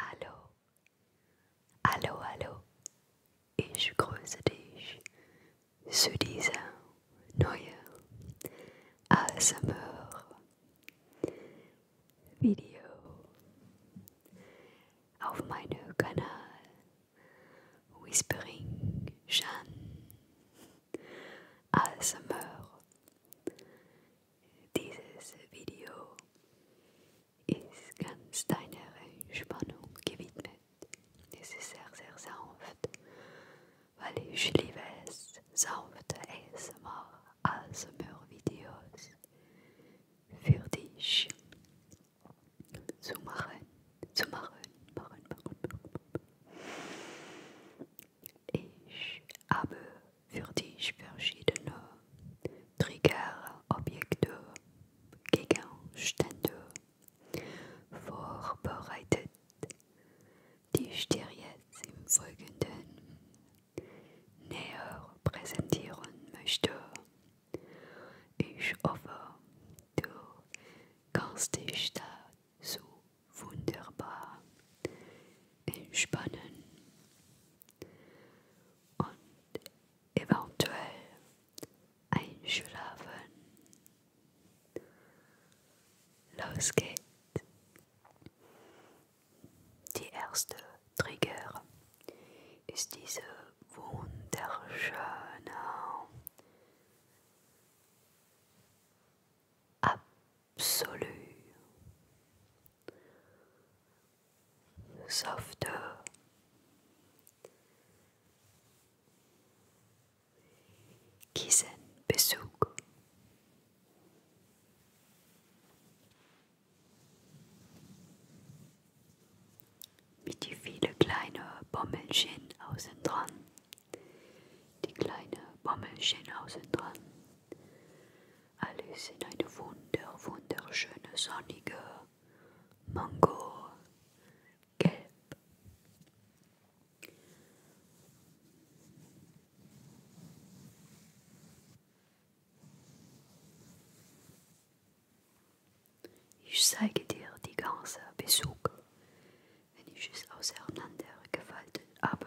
Hallo, hallo, hallo, ich grüße dich zu dieser neuen ASMR-Video auf meinem Kanal Whispering Chan. ASMR. Also Dieses Video ist ganz deiner Entspannung gewidmet. Es ist sehr, sehr sanft, weil ich liebe es, sanfte ASMR, ASMR-Videos also für dich zu machen zu machen. machen, machen, machen. Ich habe für dich verschiedene Trigger, Objekte, Gegenstände vorbereitet, die ich dir jetzt im Folgenden näher präsentieren möchte. Ich hoffe, du kannst dich da so wunderbar entspannen und eventuell einschlafen. Los geht's. Die erste Trigger ist diese wunderschöne absolue, sauveteur, Kisenbezug. Mit die viele kleine Bommelchen außen dran die kleine Bommelchen außen dran. Alles in eine wunder, wunderschöne, sonnige Mango. Gelb. Ich zeige dir die ganze Besuch wenn ich es auseinander gefaltet habe.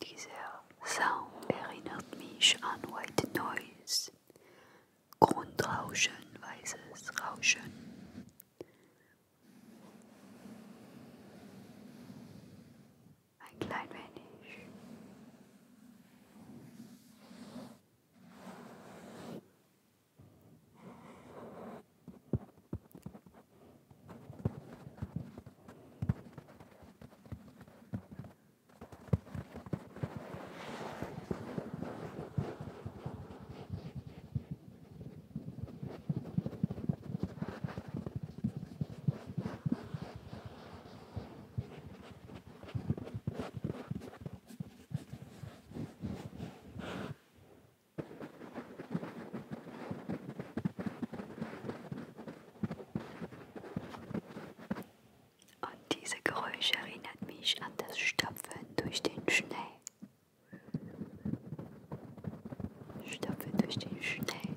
Dieser Sound erinnert mich an White Noise, Grundrauschen, weißes Rauschen ein klein wenig. Und diese Geräusche erinnert mich an das Stapfen durch den Schnee. Stapfen durch den Schnee.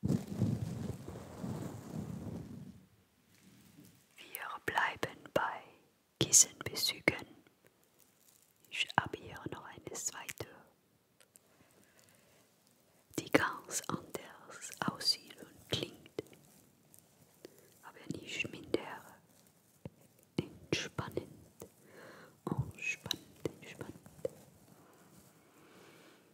Wir bleiben bei Kissenbezügen. Ich habe hier noch eine zweite, die ganz anders aussieht und klingt, aber nicht minder entspannend, entspannend, oh, entspannend.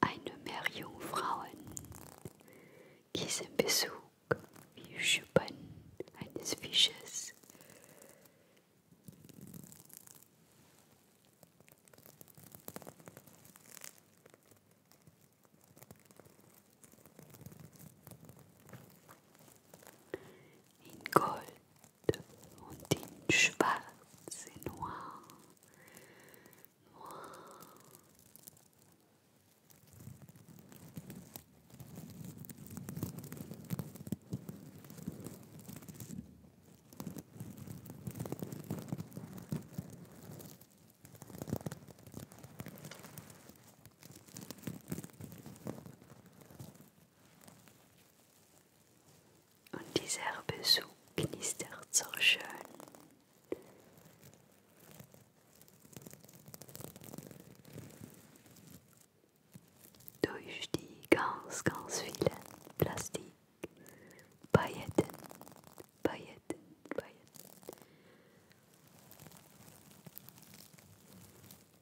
Eine Meerjungfrauen gießen Besuch wie Schuppen eines Fisches. in Gold und in Schwarz, et Noir, Noir. Und dieser Besuch knistert so schön. Durch die ganz, ganz vielen Plastikpailletten, Pailletten, Pailletten.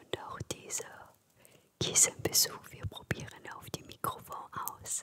Und auch dieser Kissenbesuch, wir probieren auf dem Mikrofon aus.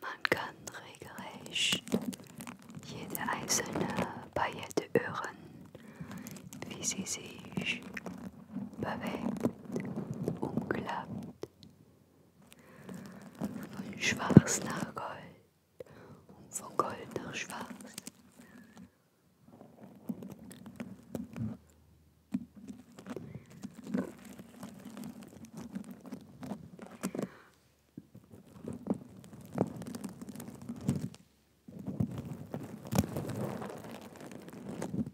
Man kann regelrecht jede einzelne Paillette hören, wie sie sich bewegt umklappt. Von schwarz nach Gold und von Gold nach schwarz.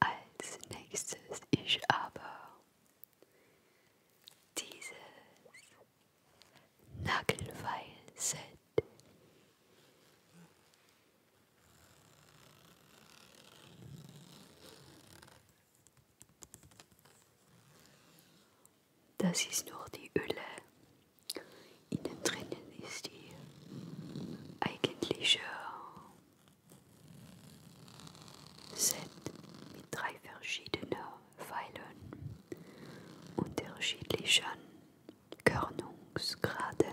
Als nächstes ich aber dieses Nagelfeil-Set Das ist nur die Öle. Innen drinnen ist die eigentliche Set mit drei verschiedenen Pfeilen, unterschiedlichen Körnungsgraden.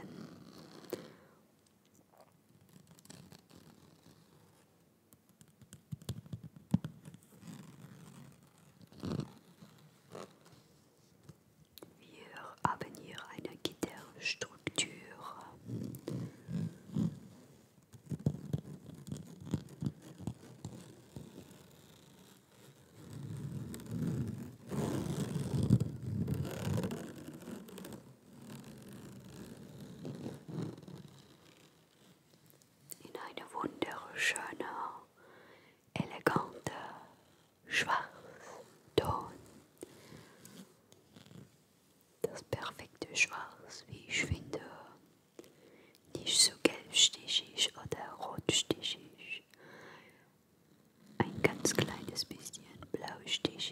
Wir haben hier eine Gitterstruktur in eine wunderschöne, elegante Schwarzton. Das perfekte Schwarz, wie ich finde. Nicht zu so gelbstichig oder rotstichig. Ein ganz kleines bisschen blaustichig.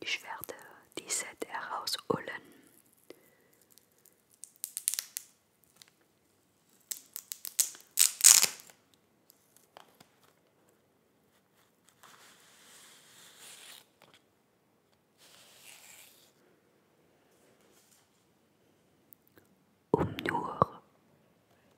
Ich werde die Set herausholen. Um nur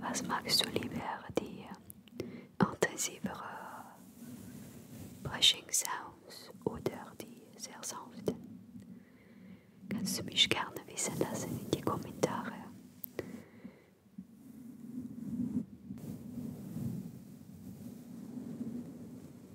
Was magst du lieber, die intensivere Brushing Sounds oder die sehr sanften? Kannst du mich gerne wissen lassen in die Kommentare.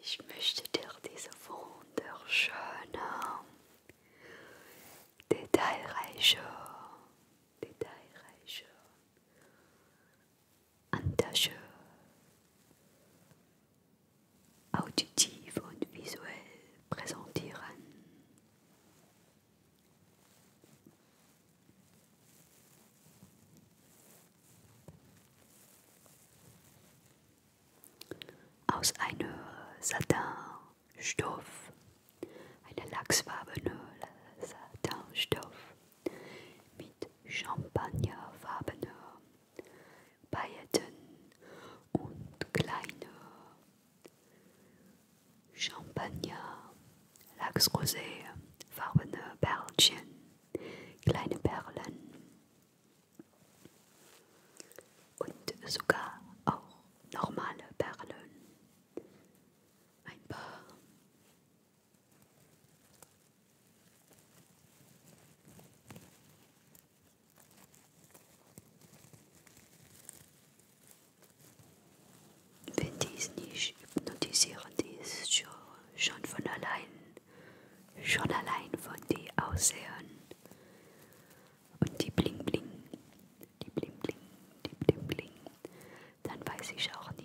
Ich möchte dir diese wunderschöne, detailreiche, detailreiche Handtasche auditiv und visuell präsentieren. Aus einem Satinstoff, einer lachsfarbenen Satinstoff mit champagnerfarbenen Pailletten und kleine Champagner, Lachsrosé, farbene Perlchen, kleine Perlen und sogar auch normale Perlen. Ein paar. Wenn dies nicht hypnotisierend ist, schon von allein, schon allein von dir aussehen. Und die Bling Bling, die Bling Bling, die Bling Bling, dann weiß ich auch nicht.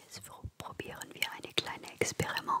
Jetzt probieren wir eine kleine Experiment.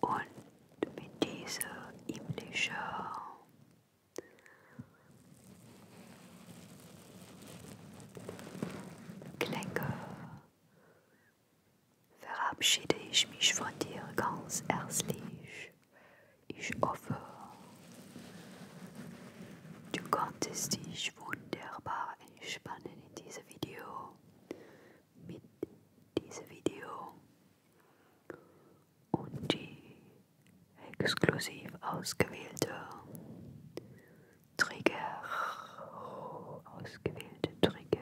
Und mit dieser himmlischen Klänge verabschiede ich mich von dir ganz herzlich. Ich hoffe, du konntest dich wunderbar entspannen in diesem Video mit diesem Video und die exklusiv ausgewählte Trigger, ausgewählte Trigger.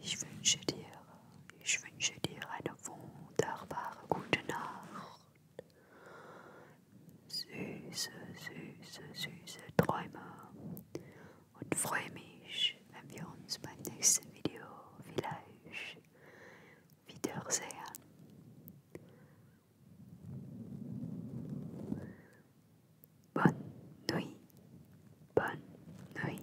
Ich wünsche dir, ich wünsche dir eine wunderbare gute Nacht süße, süße, süße Träume und freue mich, wenn wir uns beim nächsten Video vielleicht wiedersehen. Bonne nuit, bonne nuit.